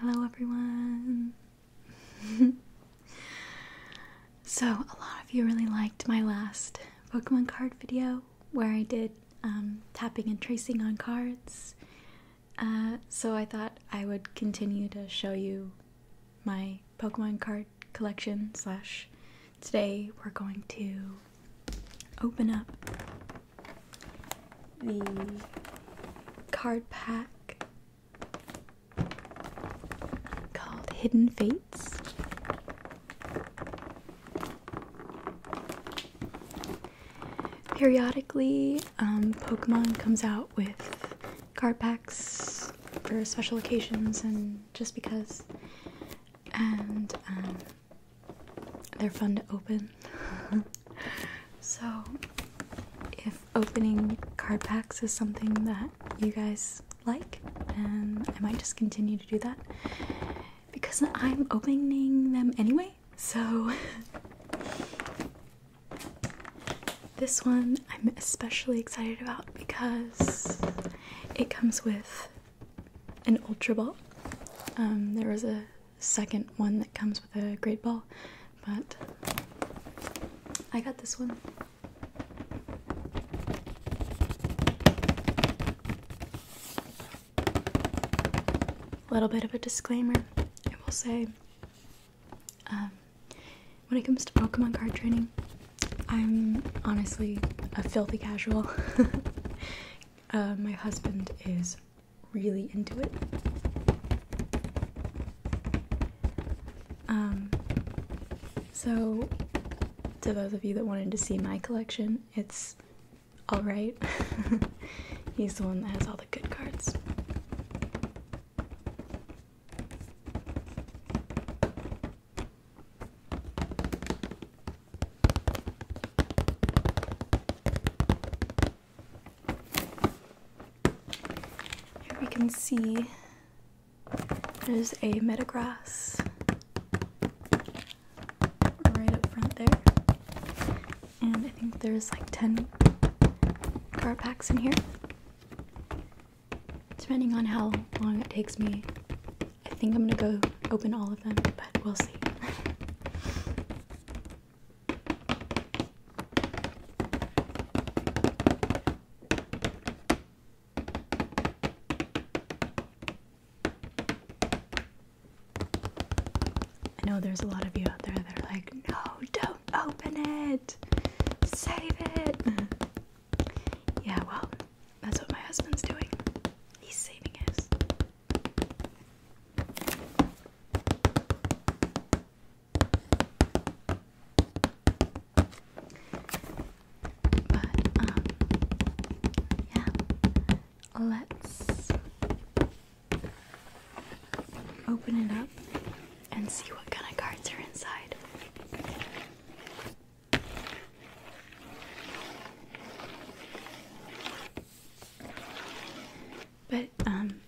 Hello, everyone. so, a lot of you really liked my last Pokemon card video where I did um, tapping and tracing on cards. Uh, so, I thought I would continue to show you my Pokemon card collection. Slash, today we're going to open up the card pack called Hidden Fates. Periodically, um, Pokemon comes out with card packs for special occasions and just because, and um, they're fun to open so, if opening card packs is something that you guys like, and I might just continue to do that because I'm opening them anyway. So, this one I'm especially excited about because it comes with an Ultra Ball. Um, there was a second one that comes with a great ball, but I got this one. A little bit of a disclaimer. I will say, um, when it comes to Pokemon card training, I'm honestly a filthy casual. Uh, my husband is really into it. Um, so, to those of you that wanted to see my collection, it's alright. He's the one that has all the good cards. Here we can see there's a metagrass right up front there. And I think there's like 10 card packs in here. Depending on how long it takes me, I think I'm gonna go open all of them, but we'll see. I know there's a lot of you out there that are like, no, don't open it, save it. Yeah, well, that's what my husband's doing. He's saving his. But, um, yeah, let's open it up and see what kind of cards are inside. But, um,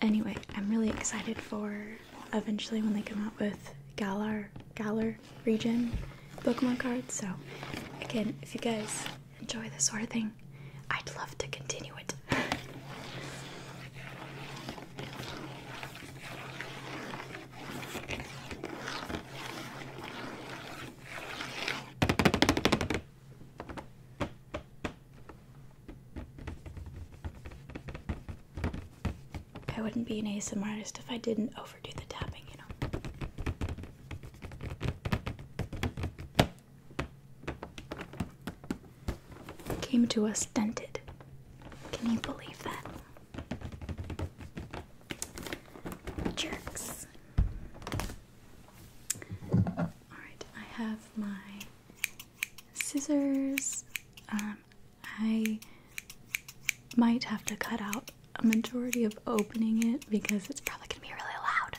Anyway, I'm really excited for eventually when they come out with Galar Galar region Pokemon cards. So again, if you guys enjoy this sort of thing, I'd love to continue it. I wouldn't be an ASMR artist if I didn't overdo the tapping, you know. Came to us dented. Can you believe that? Jerks. Alright, I have my scissors. Um, I might have to cut out a majority of opening it because it's probably going to be really loud.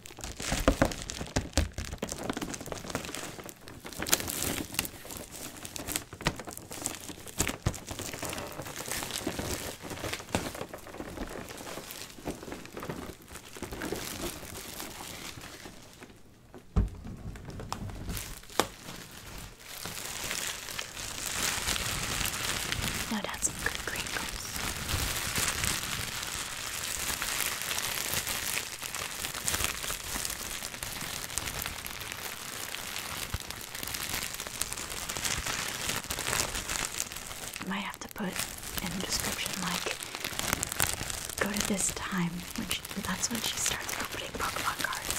No doubt some good crinkles. Might have to put in the description like go to this time, which that's when she starts opening Pokemon cards.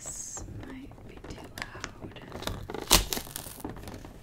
This might be too loud.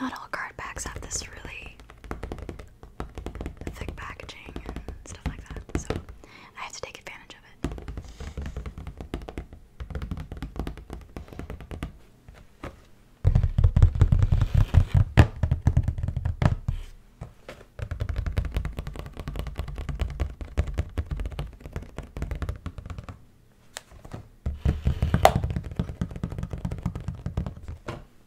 Not all card packs have this really thick packaging and stuff like that, so I have to take advantage of it.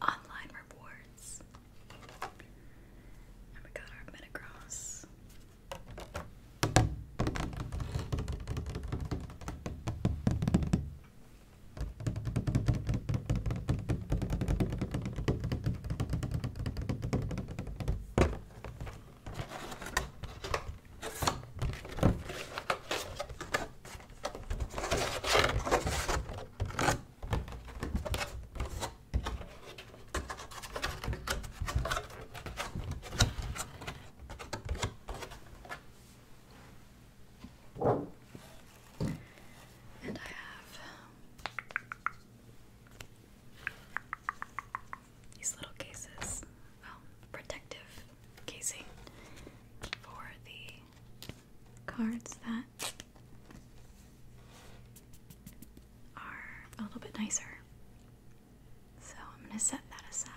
online rewards. we got our Metacross. And I have these little cases, um, protective casing for the cards that are a little bit nicer. So I'm going to set that aside.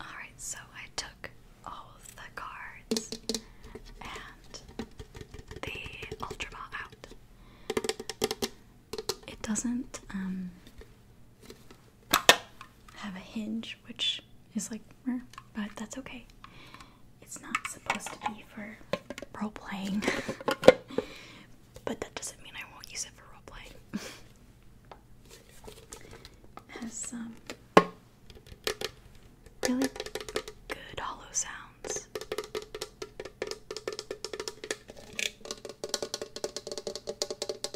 Alright, so I took all of the cards and the Ultra Ball out. It doesn't, um, have a hinge, which is like, but that's okay. It's not supposed to be for role playing, but that doesn't mean I won't use it for role playing. has some um, really good hollow sounds.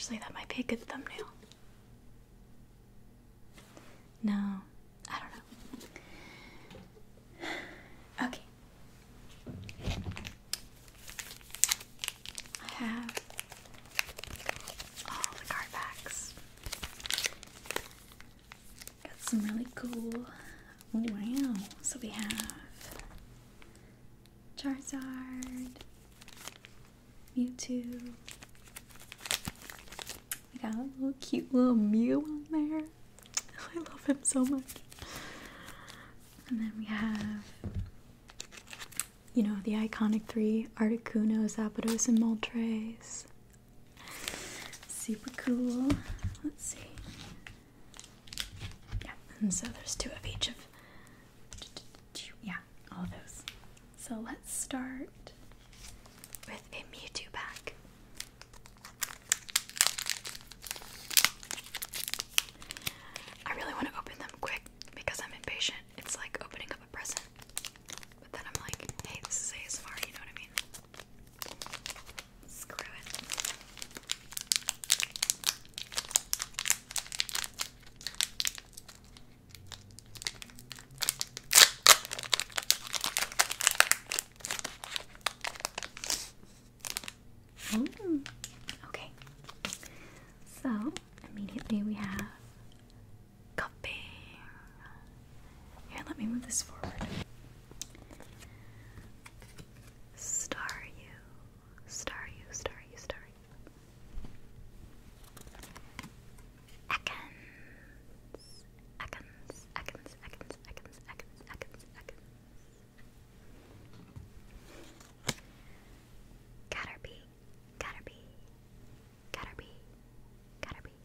Actually, that might be a good thumbnail. No, I don't know. Okay. I have all the card packs. Got some really cool. Oh, wow. So we have Charizard, Mewtwo. We got a little cute little Mew on there. I love him so much. And then we have, you know, the iconic three Articuno, Zapdos, and Moltres. Super cool. Let's see. Yeah, and so there's two of each of, yeah, all of those. So let's start with a Mewtwo pack. I really want to open them quick because I'm impatient. It's like opening up a present. But then I'm like, hey, this is ASMR, you know what I mean? Screw it. Mm. Okay. So immediately we have cupping. Here, let me move this forward. Star you, star you, star you, star Ekans, Ekans, Ekans, Ekans, Ekans, Ekans, Ekans, Ekans. Caterpie, Caterpie, Caterpie, Caterpie.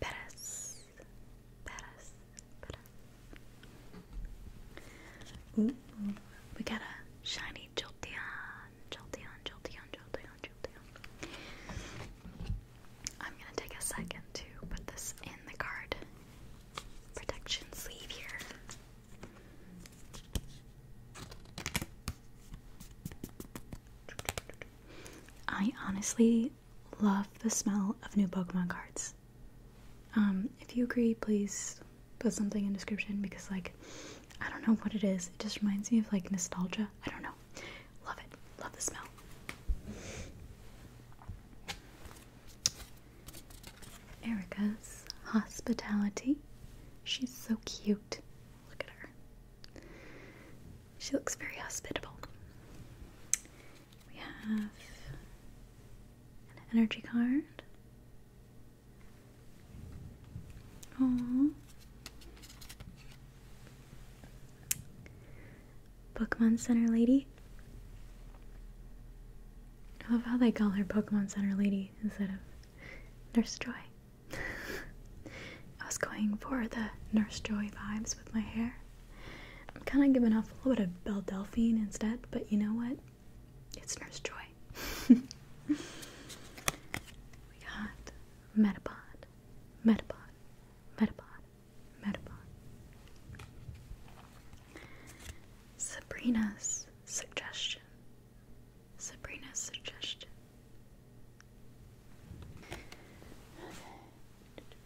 Peres, Peres, Peres. we got a shiny Jolteon, Jolteon, Jolteon, Jolteon, Jolteon. I'm gonna take a second to put this in the card protection sleeve here. I honestly love the smell of new Pokemon cards. Um, if you agree, please put something in description because like I don't know what it is. It just reminds me of like nostalgia. I don't know. Love it. Love the smell. Erica's hospitality. She's so cute. Look at her. She looks very hospitable. We have an energy card. Aww. Pokemon Center Lady. I love how they call her Pokemon Center Lady instead of Nurse Joy. I was going for the Nurse Joy vibes with my hair. I'm kind of giving off a little bit of Belle Delphine instead, but you know what? It's Nurse Joy. we got Metapod, Metapod, Metapod, Metapod. Sabrina's suggestion. Sabrina's suggestion.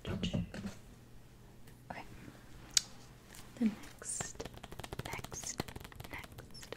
Okay. The next, next, next,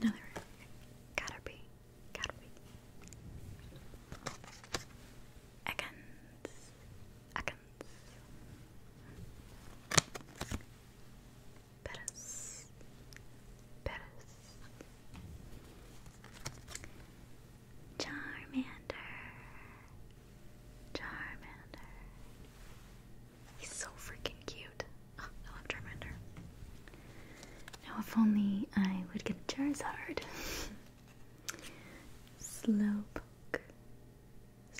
Another Caterpie. Caterpie. Ekans. Ekans. Pettis. Pettis. Charmander. Charmander. He's so freaking cute. Oh, I love Charmander. Now, if only I would get Charizard. Slowpoke.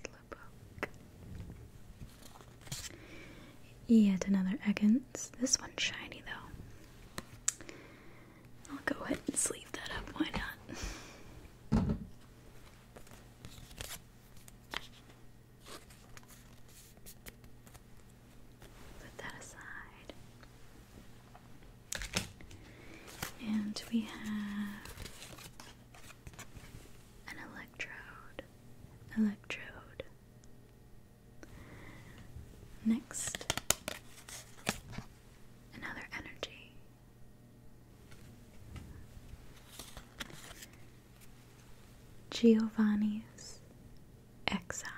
Slowpoke. Yet another Ekans. This one's shiny though. I'll go ahead and sleeve that up, why not? Put that aside. And we have an electrode. Electrode. Next, another energy. Giovanni's Exile.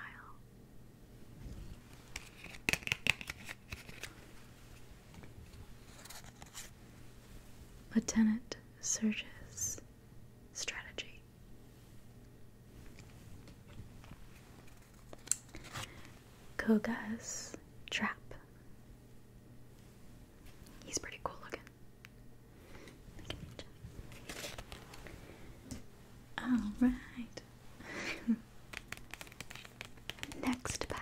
Lieutenant Surge's Strategy. Koga's Trap. He's pretty cool looking. All right. Next pack.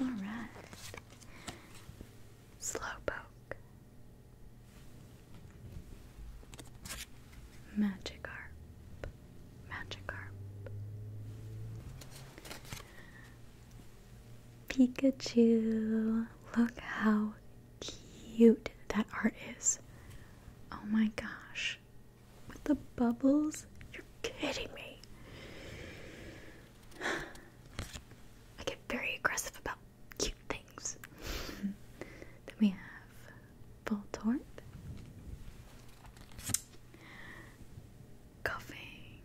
Alright. Slowpoke. Magikarp. Magikarp. Pikachu. Look how cute that art is. Oh my gosh. With the bubbles, kidding me. I get very aggressive about cute things. then we have Voltorb. Coughing.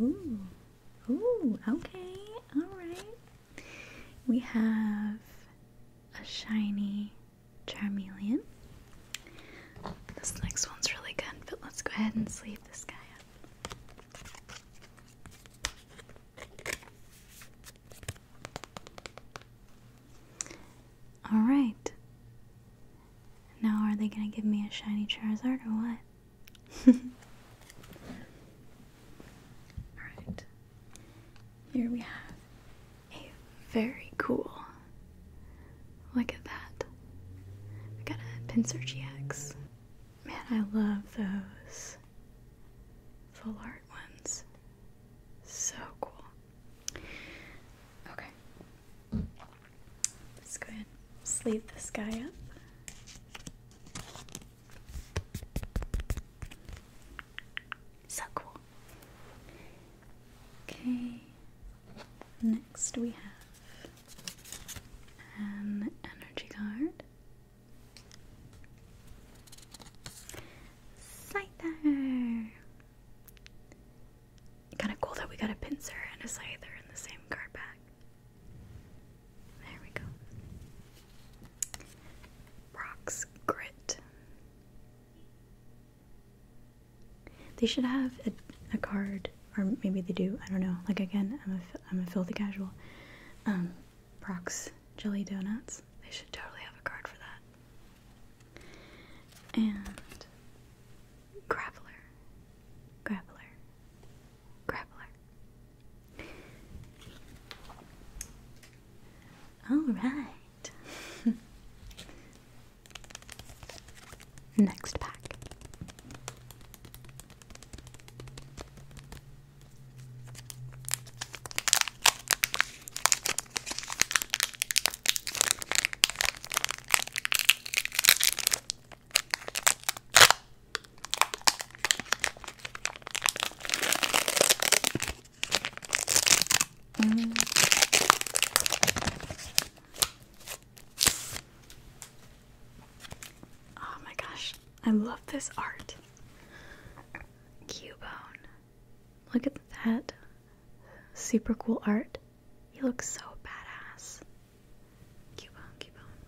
Ooh. Ooh, okay. Alright. We have a shiny Charmeleon. This next one's really good, but let's go ahead and sleep this guy up. Alright. Now, are they gonna give me a shiny Charizard or what? Alright. Here we have very cool. Look at that. I got a Pincer GX. Man, I love those full art ones. So cool. Okay. Let's go ahead sleeve this guy up. So cool. Okay, Next, we have an energy card. Scyther! Kinda cool that we got a pincer and a scyther in the same card pack. There we go. Brock's Grit. They should have a, card, or maybe they do. I don't know. Like again, I'm a I'm a filthy casual. Um, jelly donuts. They should totally have a card for that. And grappler, grappler, grappler. All right. Next pack. Oh my gosh, I love this art. Cubone. Look at that. Super cool art. He looks so badass. Cubone, Cubone.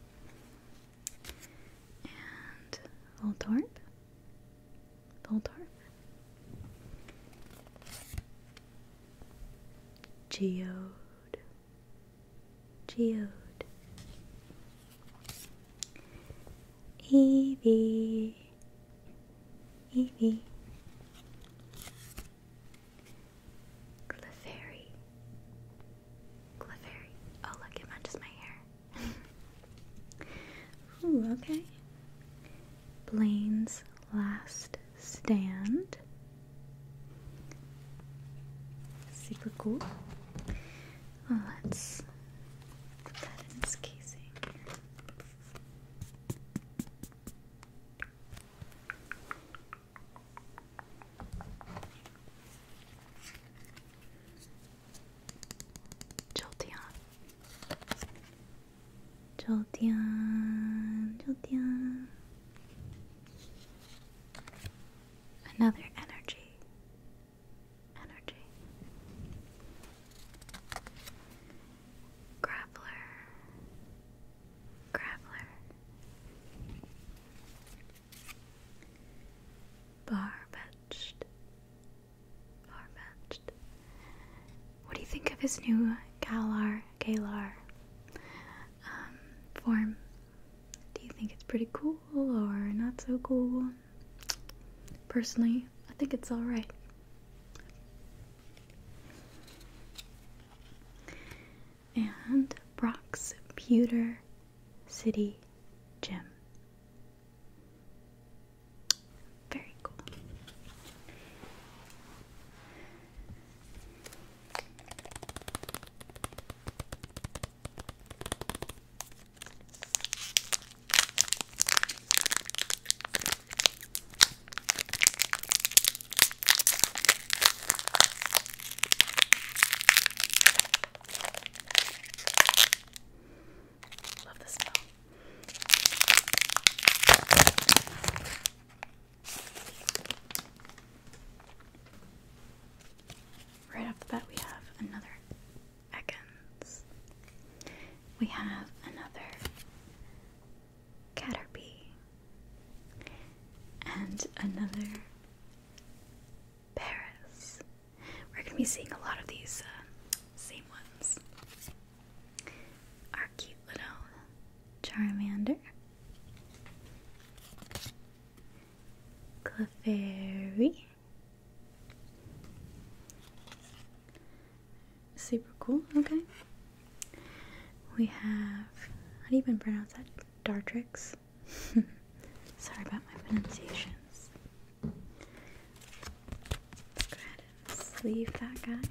And Voldorp. Voldorp geode, geode. Evie, Evie. Clefairy, Clefairy. Oh look, it matches my hair. Ooh, okay. Blanes. Last Stand. Super cool. Oh, let's put that in its casing. Jolteon. Jolteon, Jolteon. Another energy. Energy. Grappler. Grappler. Barbetched. Barbetched. What do you think of his new Galar Kalar um, form. Do you think it's pretty cool or not so cool? Personally, I think it's alright. And Brock's Pewter City Gym. Very cool. Love the smell. Right off the bat, we have another Ekans. We have another Caterpie. And another Paris. We're going to be seeing a lot of these uh, same ones. Our cute little Charmander, Clefairy. Super cool, okay. We have, how do you even pronounce that? Dartrix? Sorry about my pronunciations. go ahead and sleeve that guy.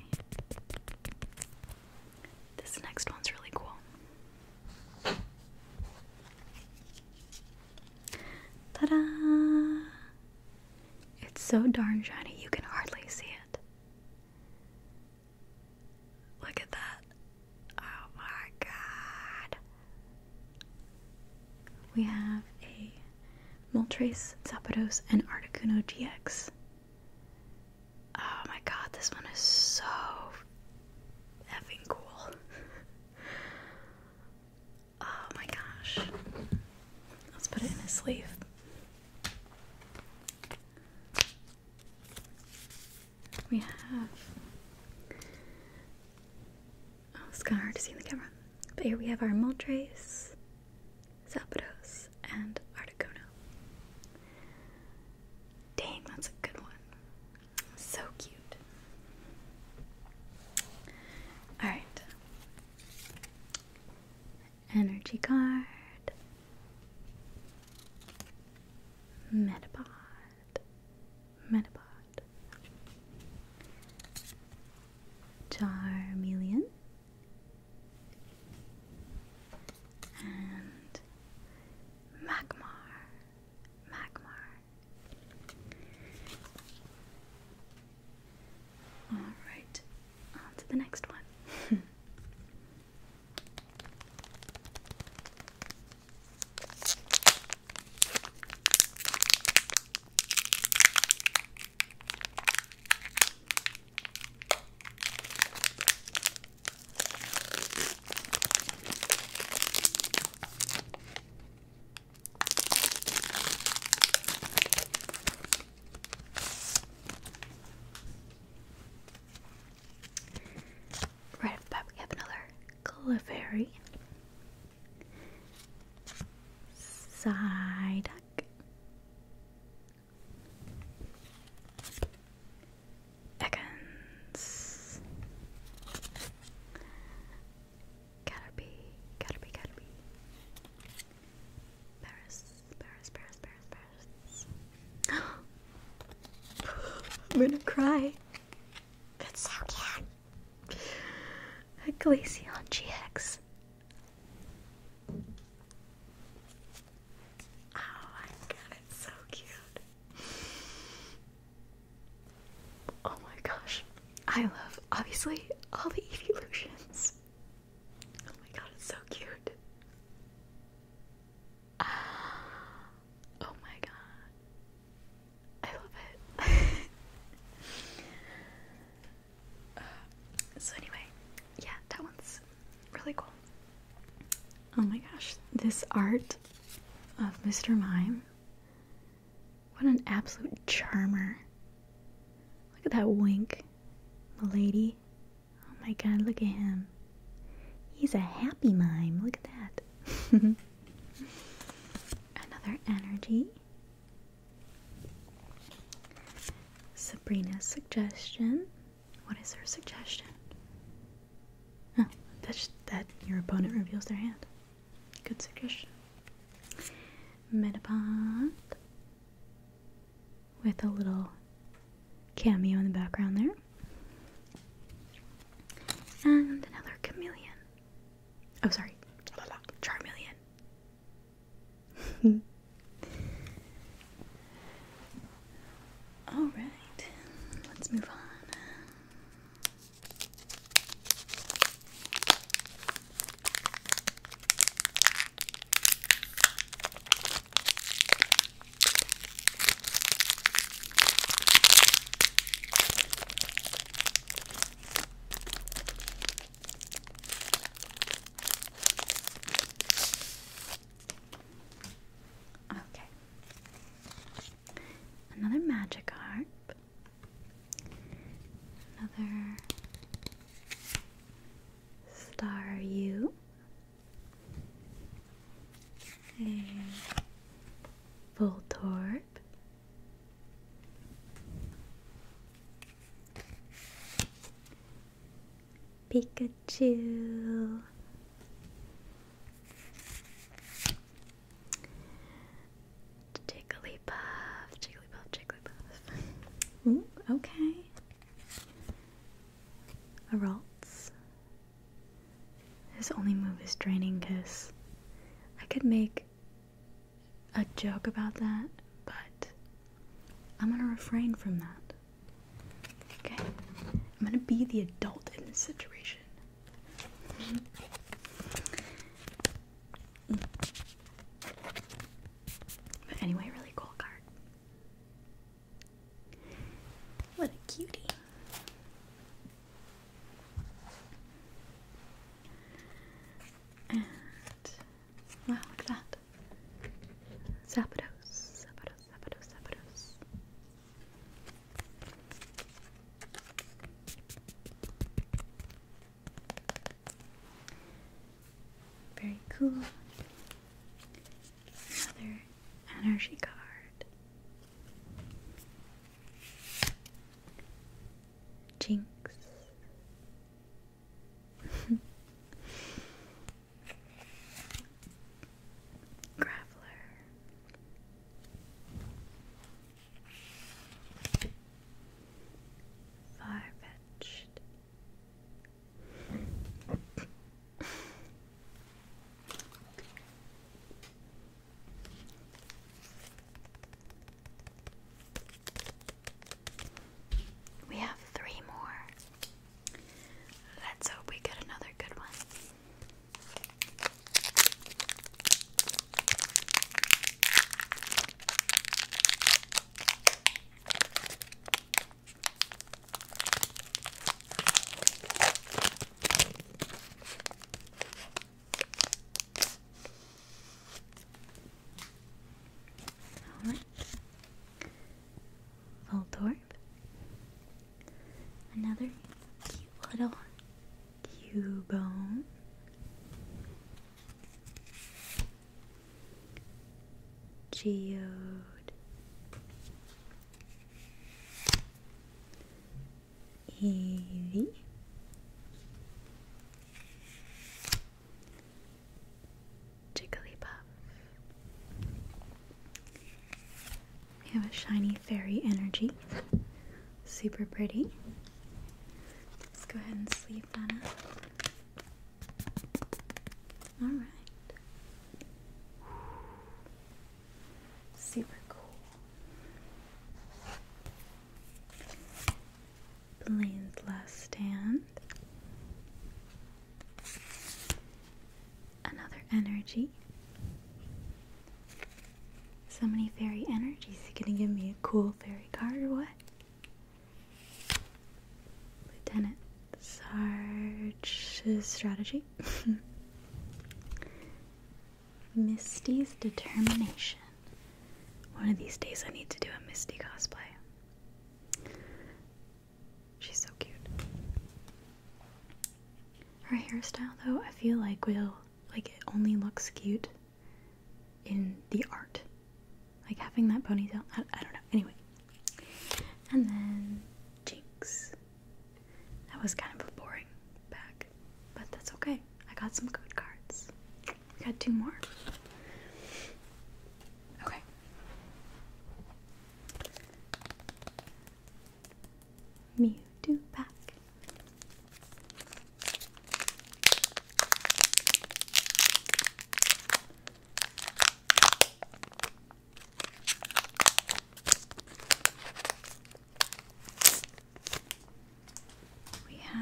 This next one's really cool. Ta da! It's so darn shiny you can hardly see it. Look at that. Oh my god. We have a Moltres, Zapdos, and Articuno GX. Oh my god, this one is so effing cool. oh my gosh. Let's put it in a sleeve. We have. Oh, it's kind of hard to see in the camera. But here we have our Moltres, Zapatos, and Articuno. Dang, that's a good one. So cute. Alright. Energy card. Metapod. Metapod. Charmeleon and Magmar, Magmar. All right, on to the next one. Right up top, we have another Clefairy, Psyduck, Ekans. Caterpie, Caterpie, Caterpie. Paris, Paris, Paris, Paris, Paris. I'm gonna cry. That's so cute. Glaceon GX. Oh my god, it's so cute. Oh my gosh. I love, obviously, all the evolutions. Oh my god, it's so cute. Ah. oh my god. I love it. Uh, so, anyway, yeah, that one's really cool. Oh my gosh, this art of Mr. Mime. What an absolute charmer. Look at that wink, lady. Oh my god, look at him. He's a happy mime. Look at that. Another energy. Sabrina's suggestion. What is her suggestion? Oh, that your opponent reveals their hand. Good suggestion. Metapod with a little cameo in the background there. And another chameleon. Oh, sorry. Charmeleon. All right, let's move on. Okay. Another magic harp. Another star U. A Voltorb. Pikachu. Jigglypuff, Jigglypuff, Jigglypuff. okay. A Ralts. His only move is Draining Kiss. I could make a joke about that, but I'm gonna refrain from that. Okay? I'm gonna be the adult in this situation. But anyway, really cool card. What a cutie. And wow, look at that. Zapdos, Zapdos, very cool. Another energy card. Jinx. Graveler. Far-fetched. We have three more. Let's hope we get another good one. All right. Voldorb, Another cute little Cubone. Geode. Eevee. Jigglypuff. We have a shiny fairy energy. Super pretty. Let's go ahead and sleep that up. Alright. Super cool. Blaine's last stand. Another energy. So many fairy energies. You gonna give me a cool fairy card or what? Lieutenant Sarge's strategy. Misty's determination. One of these days I need to do a Misty cosplay. She's so cute. Her hairstyle, though, I feel like will like it only looks cute in the art, like having that ponytail. I, don't know. Anyway, and then Jinx. That was kind of a boring pack, but that's okay. I got some good cards. We got two more. Okay. Mewtwo pack. We have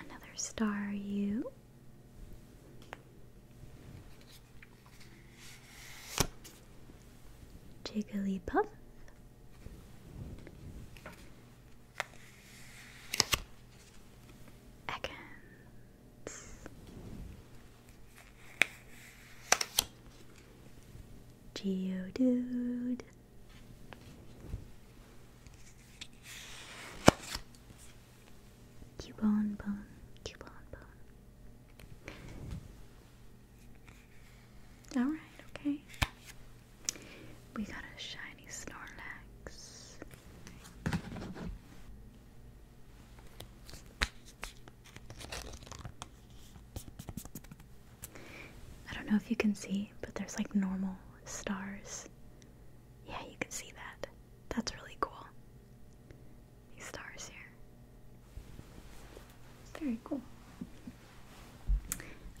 another star you Jigglypuff. Ekans. Geodude. Cubone bone, Cubone bone. Alright, okay. We got a shiny Snorlax. I don't know if you can see, but there's like normal stars. Yeah, you can see that. That's really cool these stars here. very cool.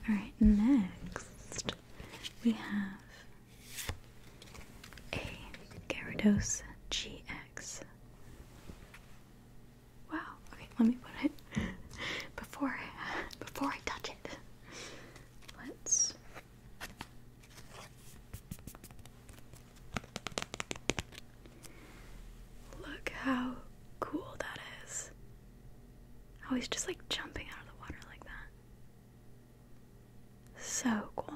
Alright, next we have a Gyarados GX. Wow, okay, let me put it before before I touch it. Let's Look how cool that is. How he's just like jumping out of the water like that. So cool.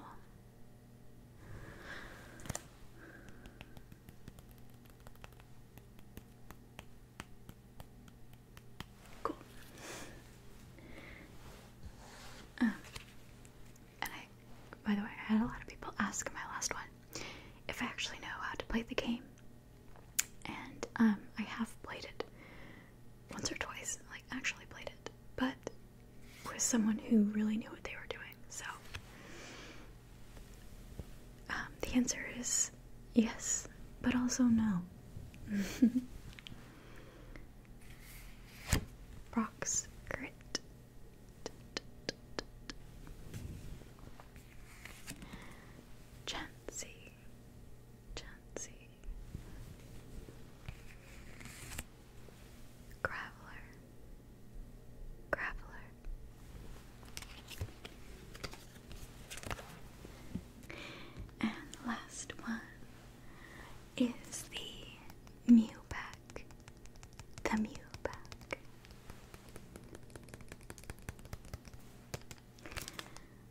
Cool. Um, and I, by the way, I had a lot of people ask in my last one if I actually know how to play the game, and um, I have played it once or twice, like actually played it, but with someone who really knew what they were doing. So um, the answer is yes, but also no. Brock's Grit Chancy, Chancy, Graveler, Graveler. And last one is the Mewbat. The Mew back.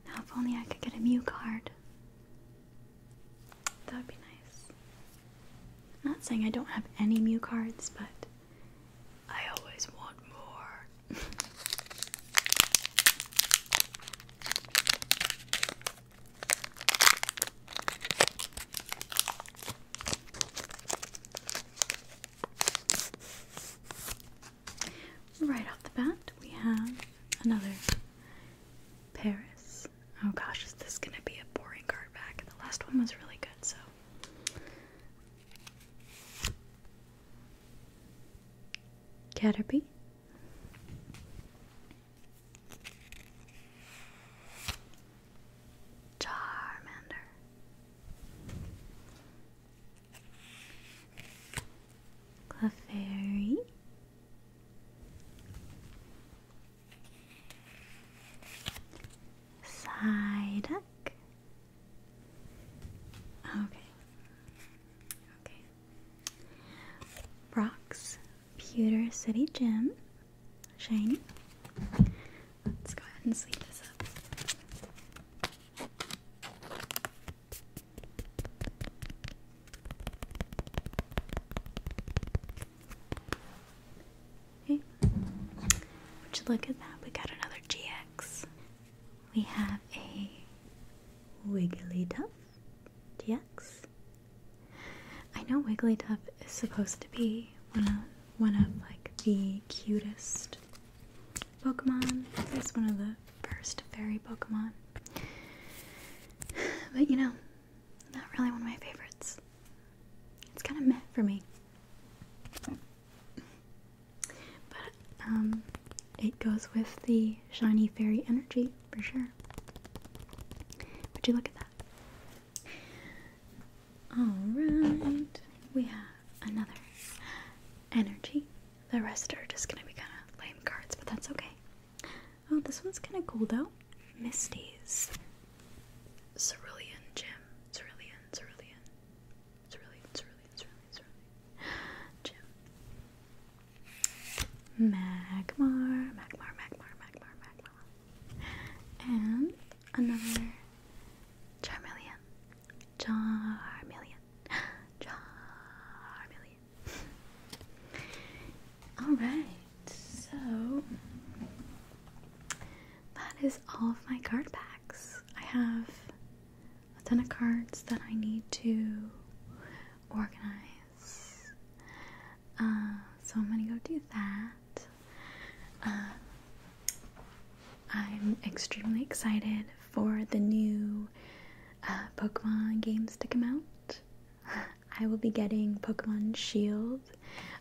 Now, if only I could get a Mew card. That would be nice. am not saying I don't have any Mew cards, but I always want more. Right off the bat, we have another Paris. Oh gosh, is this gonna be a boring card back? The last one was really good, so. Caterpie, Charmander. Clefairy. Psyduck. Okay. Okay. Brock's Pewter City Gym. Shane, Let's go ahead and sleeve this up. Okay. Would you look at that? We got another GX. We have a Wigglytuff DX. I know Wigglytuff is supposed to be one of one of like the cutest Pokemon. It's one of the first fairy Pokemon. But you know, not really one of my favorites. It's kind of meant for me. But um it goes with the shiny fairy energy for sure. Would you look at that? Alright, we have another energy. The rest are just gonna be kind of lame cards, but that's okay. Oh, this one's kind of cool though. Misty's Cerulean Gym. Cerulean, Cerulean. Cerulean, Cerulean, Cerulean, Cerulean. Gym. Magmar, Magmar, Magmar, Magmar, Magmar and another Charmeleon. Charmeleon. Charmeleon. Alright, so that is all of my card packs. I have a ton of cards that I need to organize. Uh, so I'm gonna go do that. Uh, I'm extremely excited for the new uh, Pokemon games to come out. I will be getting Pokemon Shield.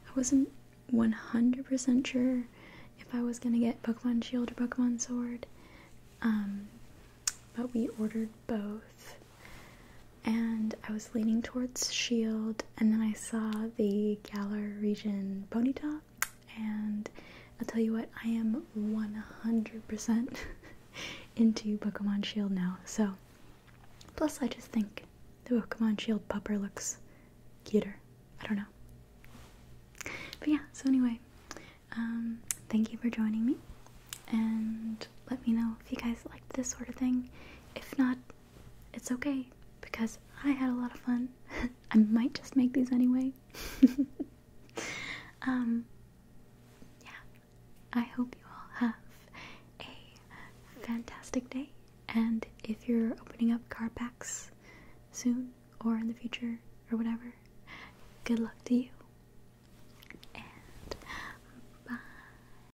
I wasn't 100% sure if I was gonna get Pokemon Shield or Pokemon Sword, um, but we ordered both and I was leaning towards Shield, and then I saw the Galar region Ponyta, and I'll tell you what, I am 100% into Pokemon Shield now. So, plus I just think the Pokemon Shield pupper looks cuter. I don't know. But yeah, so anyway, um, thank you for joining me, and let me know if you guys like this sort of thing. If not, it's okay because I had a lot of fun. I might just make these anyway. um, yeah, I hope you all have a fantastic day. And if you're opening up car packs soon or in the future or whatever, good luck to you. And bye.